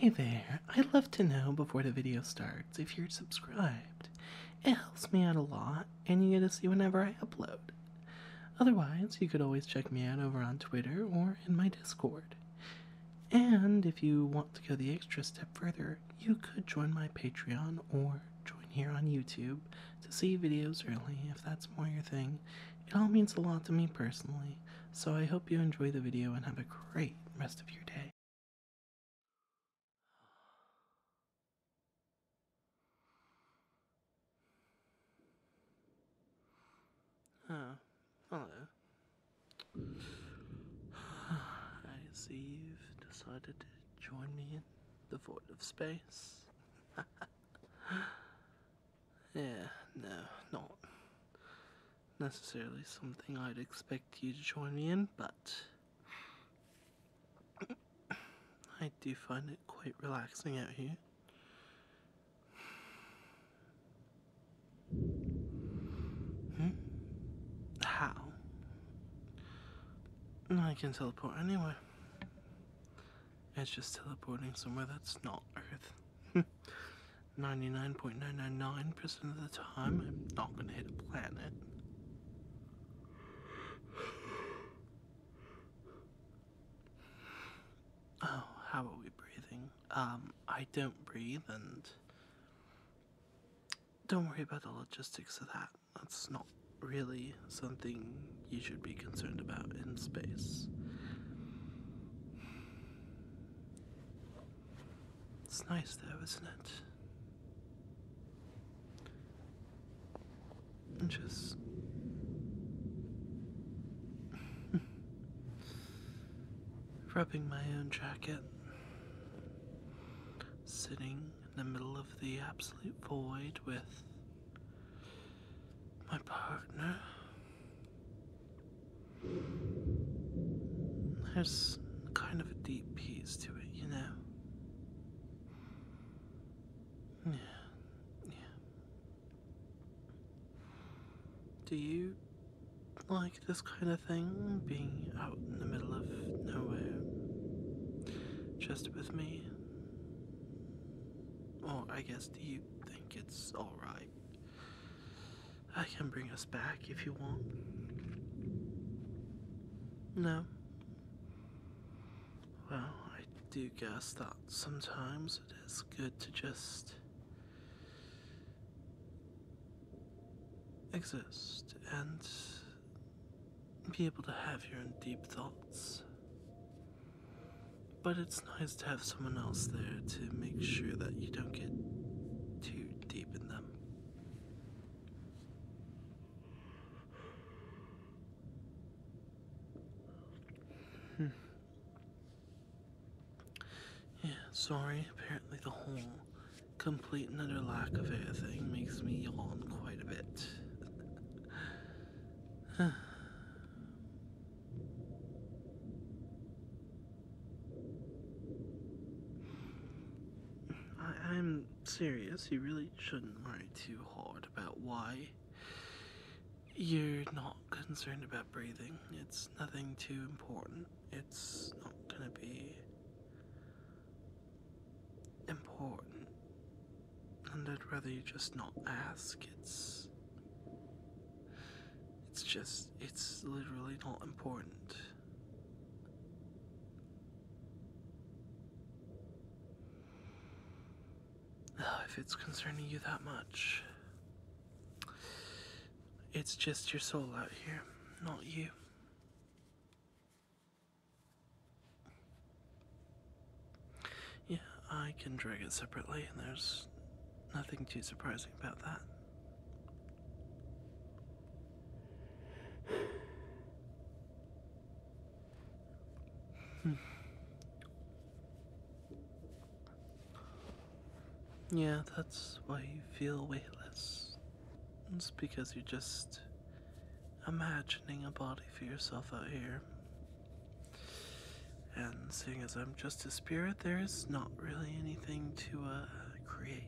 Hi there, I'd love to know before the video starts if you're subscribed. It helps me out a lot, and you get to see whenever I upload. Otherwise, you could always check me out over on Twitter or in my Discord. And if you want to go the extra step further, you could join my Patreon or join here on YouTube to see videos early if that's more your thing. It all means a lot to me personally, so I hope you enjoy the video and have a great rest of your day. Oh, hello. I see you've decided to join me in the void of space. Yeah, no, not necessarily something I'd expect you to join me in, but I do find it quite relaxing out here. Hmm? How? I can teleport anywhere. It's just teleporting somewhere that's not Earth. 99.999% of the time, I'm not going to hit a planet. Oh, how are we breathing? Um, I don't breathe and don't worry about the logistics of that. That's not really something you should be concerned about in space. It's nice though, isn't it? just. rubbing my own jacket, sitting in the middle of the absolute void with my partner. There's kind of a deep peace to it, you know? Yeah. Yeah. Do you like this kind of thing? Being out in the middle of nowhere? Just with me? Oh, I guess, do you think it's alright? I can bring us back if you want. No. Well, I do guess that sometimes it is good to just exist and be able to have your own deep thoughts. But it's nice to have someone else there to make sure that you don't get too deep in them. Hmm. Yeah, sorry, apparently the whole complete and utter lack of air thing makes me yawn quite a bit. I am serious. You really shouldn't worry too hard about why you're not concerned about breathing. It's nothing too important. It's not gonna be important. And I'd rather you just not ask. It's. It's just, it's literally not important. If it's concerning you that much, it's just your soul out here, not you. Yeah, I can drag it separately, and there's nothing too surprising about that. Hmm. Yeah, that's why you feel weightless. It's because you're just imagining a body for yourself out here, and seeing as I'm just a spirit, there is not really anything to uh, create,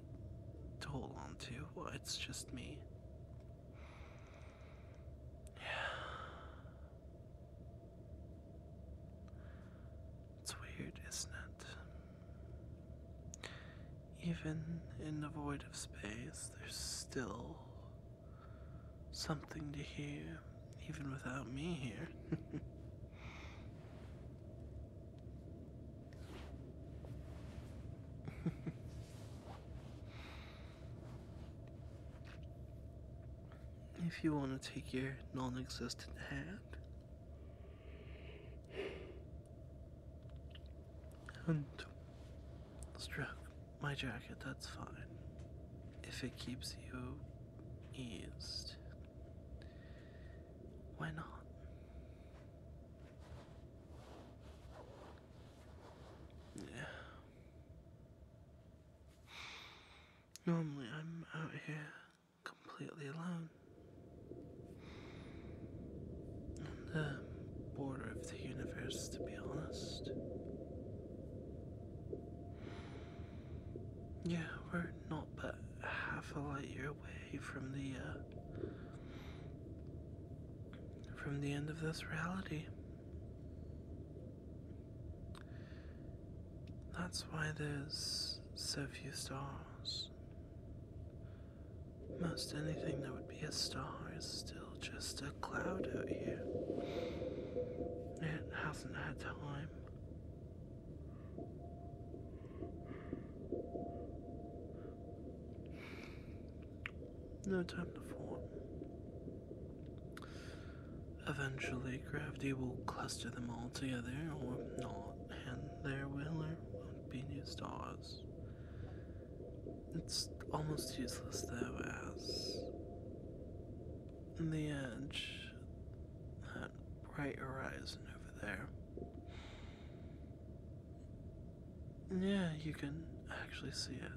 to hold on to. it's just me. Yeah. It's weird, isn't it? Even in the void of space, there's still something to hear, even without me here. if you want to take your non existent hand and stroke my jacket, that's fine. If it keeps you eased. Why not? Yeah. Normally, I'm out here completely alone on the border of the universe, to be honest. Yeah, we're not but half a light year away from the uh, from the end of this reality. That's why there's so few stars. Most anything that would be a star is still just a cloud out here. It hasn't had time no time to form. Eventually, gravity will cluster them all together, or not, and there will will be new stars. It's almost useless, though, as in the edge, that bright horizon over there. Yeah, you can actually see it.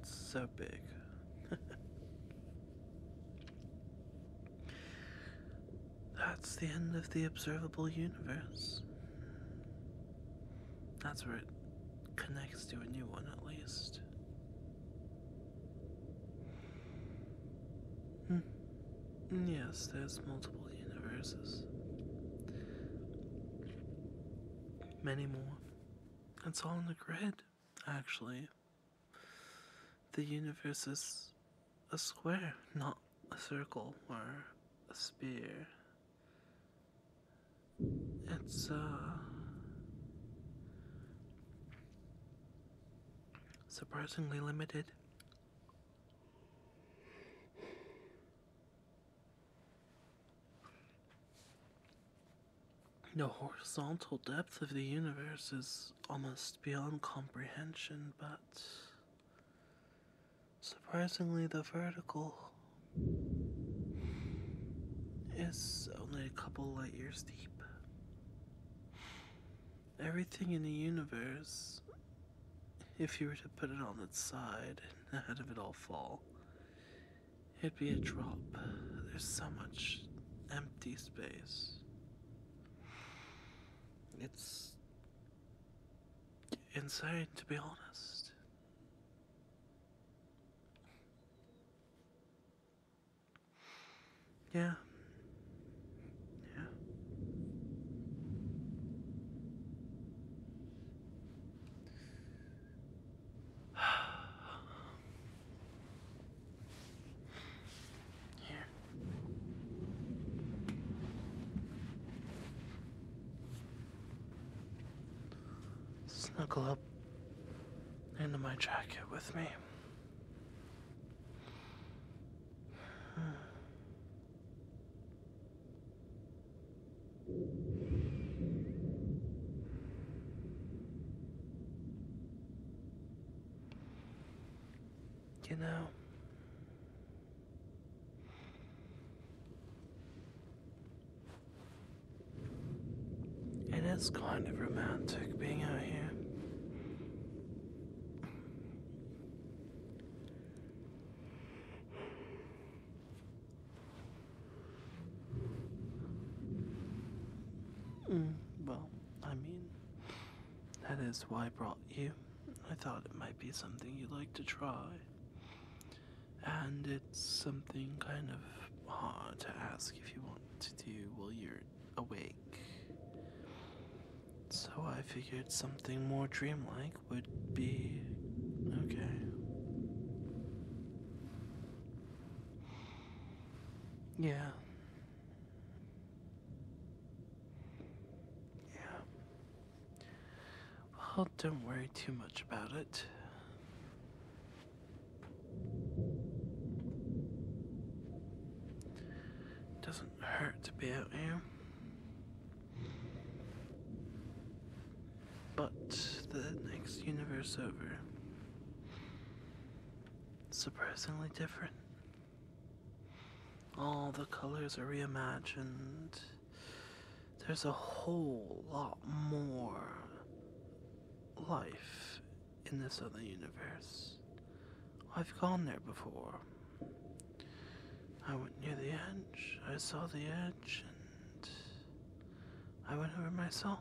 It's so big. That's the end of the observable universe. That's where it connects to a new one, at least. Hmm. Yes, there's multiple universes. Many more. It's all in the grid, actually. The universe is a square, not a circle or a sphere. It's, uh, Surprisingly limited. The horizontal depth of the universe is almost beyond comprehension, but surprisingly, the vertical is only a couple light years deep. Everything in the universe, if you were to put it on its side and out of it all fall, it'd be a drop. There's so much empty space. It's insane, to be honest. Yeah. Yeah. Here. Snuggle up into my jacket with me. You know, it is kind of romantic being out here. Hmm, well, I mean, that is why I brought you. I thought it might be something you'd like to try. And it something kind of hard uh, to ask if you want to do while you're awake. So I figured something more dreamlike would be okay. Yeah. Yeah. Well, don't worry too much about it. It doesn't hurt to be out here. But the next universe over, surprisingly different. All the colors are reimagined. There's a whole lot more life in this other universe. I've gone there before. I went near the edge, I saw the edge, and I went over myself.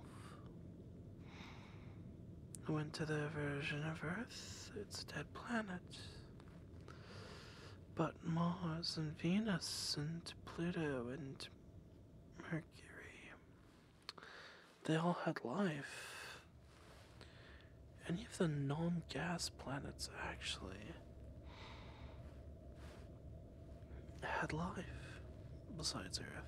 I went to the version of Earth, it's a dead planet. But Mars and Venus and Pluto and Mercury they all had life. Any of the non gas planets actually had life besides Earth.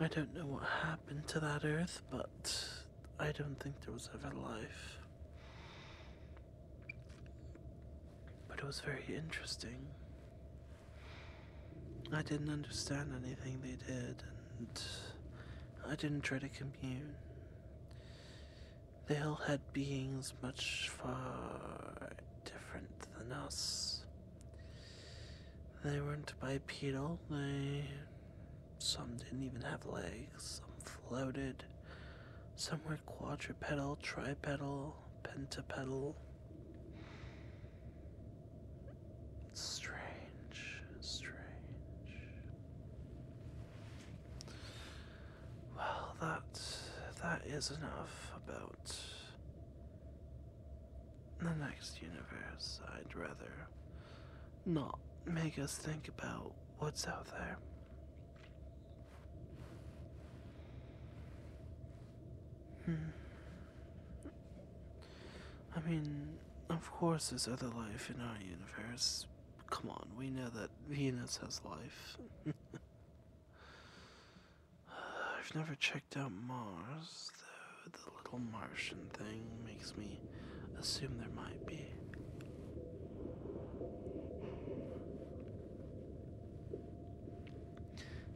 I don't know what happened to that earth, but I don't think there was ever life. But it was very interesting. I didn't understand anything they did, and I didn't try to commune. They all had beings much far different than us. They weren't bipedal, they some didn't even have legs, some floated, some were quadrupedal, tripedal, pentapedal. Strange, strange. Well, that that is enough about the next universe, I'd rather not make us think about what's out there. Hmm. I mean, of course there's other life in our universe. Come on, we know that Venus has life. I've never checked out Mars, though the little Martian thing makes me assume there might be.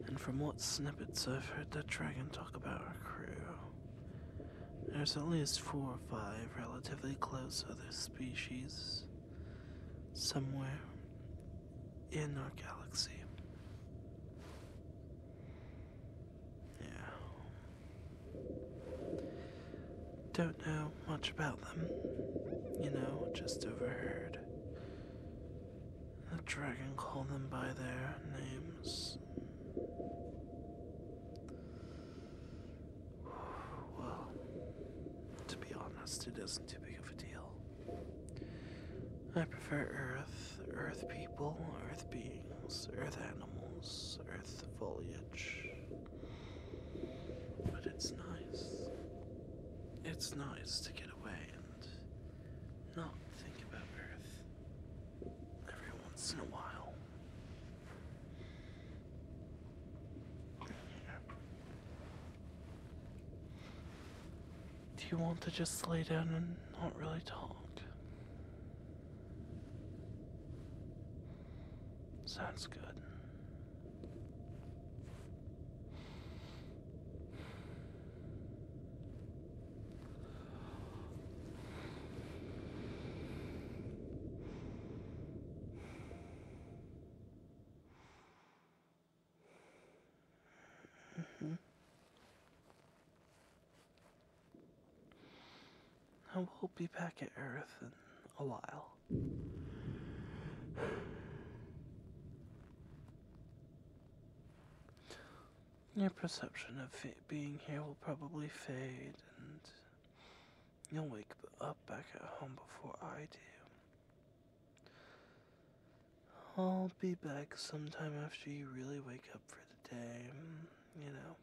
And from what snippets I've heard that dragon talk about our crew, there's at least four or five relatively close other species somewhere in our galaxy. Yeah. Don't know much about them. You know, just overheard. The dragon called them by their names. Well, to be honest, it isn't too big of a deal. I prefer earth, earth people, earth beings, earth animals, earth foliage. But it's nice. It's nice to get away and not think about earth every once in a while. Do you want to just lay down and not really talk? Sounds good. Mm-hmm. I will not be back at Earth in a while. Your perception of being here will probably fade, and you'll wake up back at home before I do. I'll be back sometime after you really wake up for the day, mm, you know.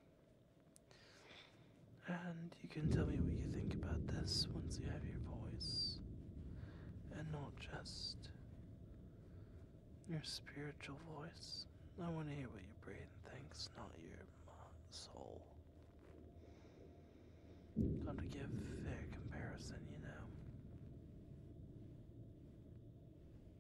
And you can tell me what you think about this once you have your voice. And not just your spiritual voice. I want to hear what your brain thinks, not your soul. Got to give fair comparison, you know.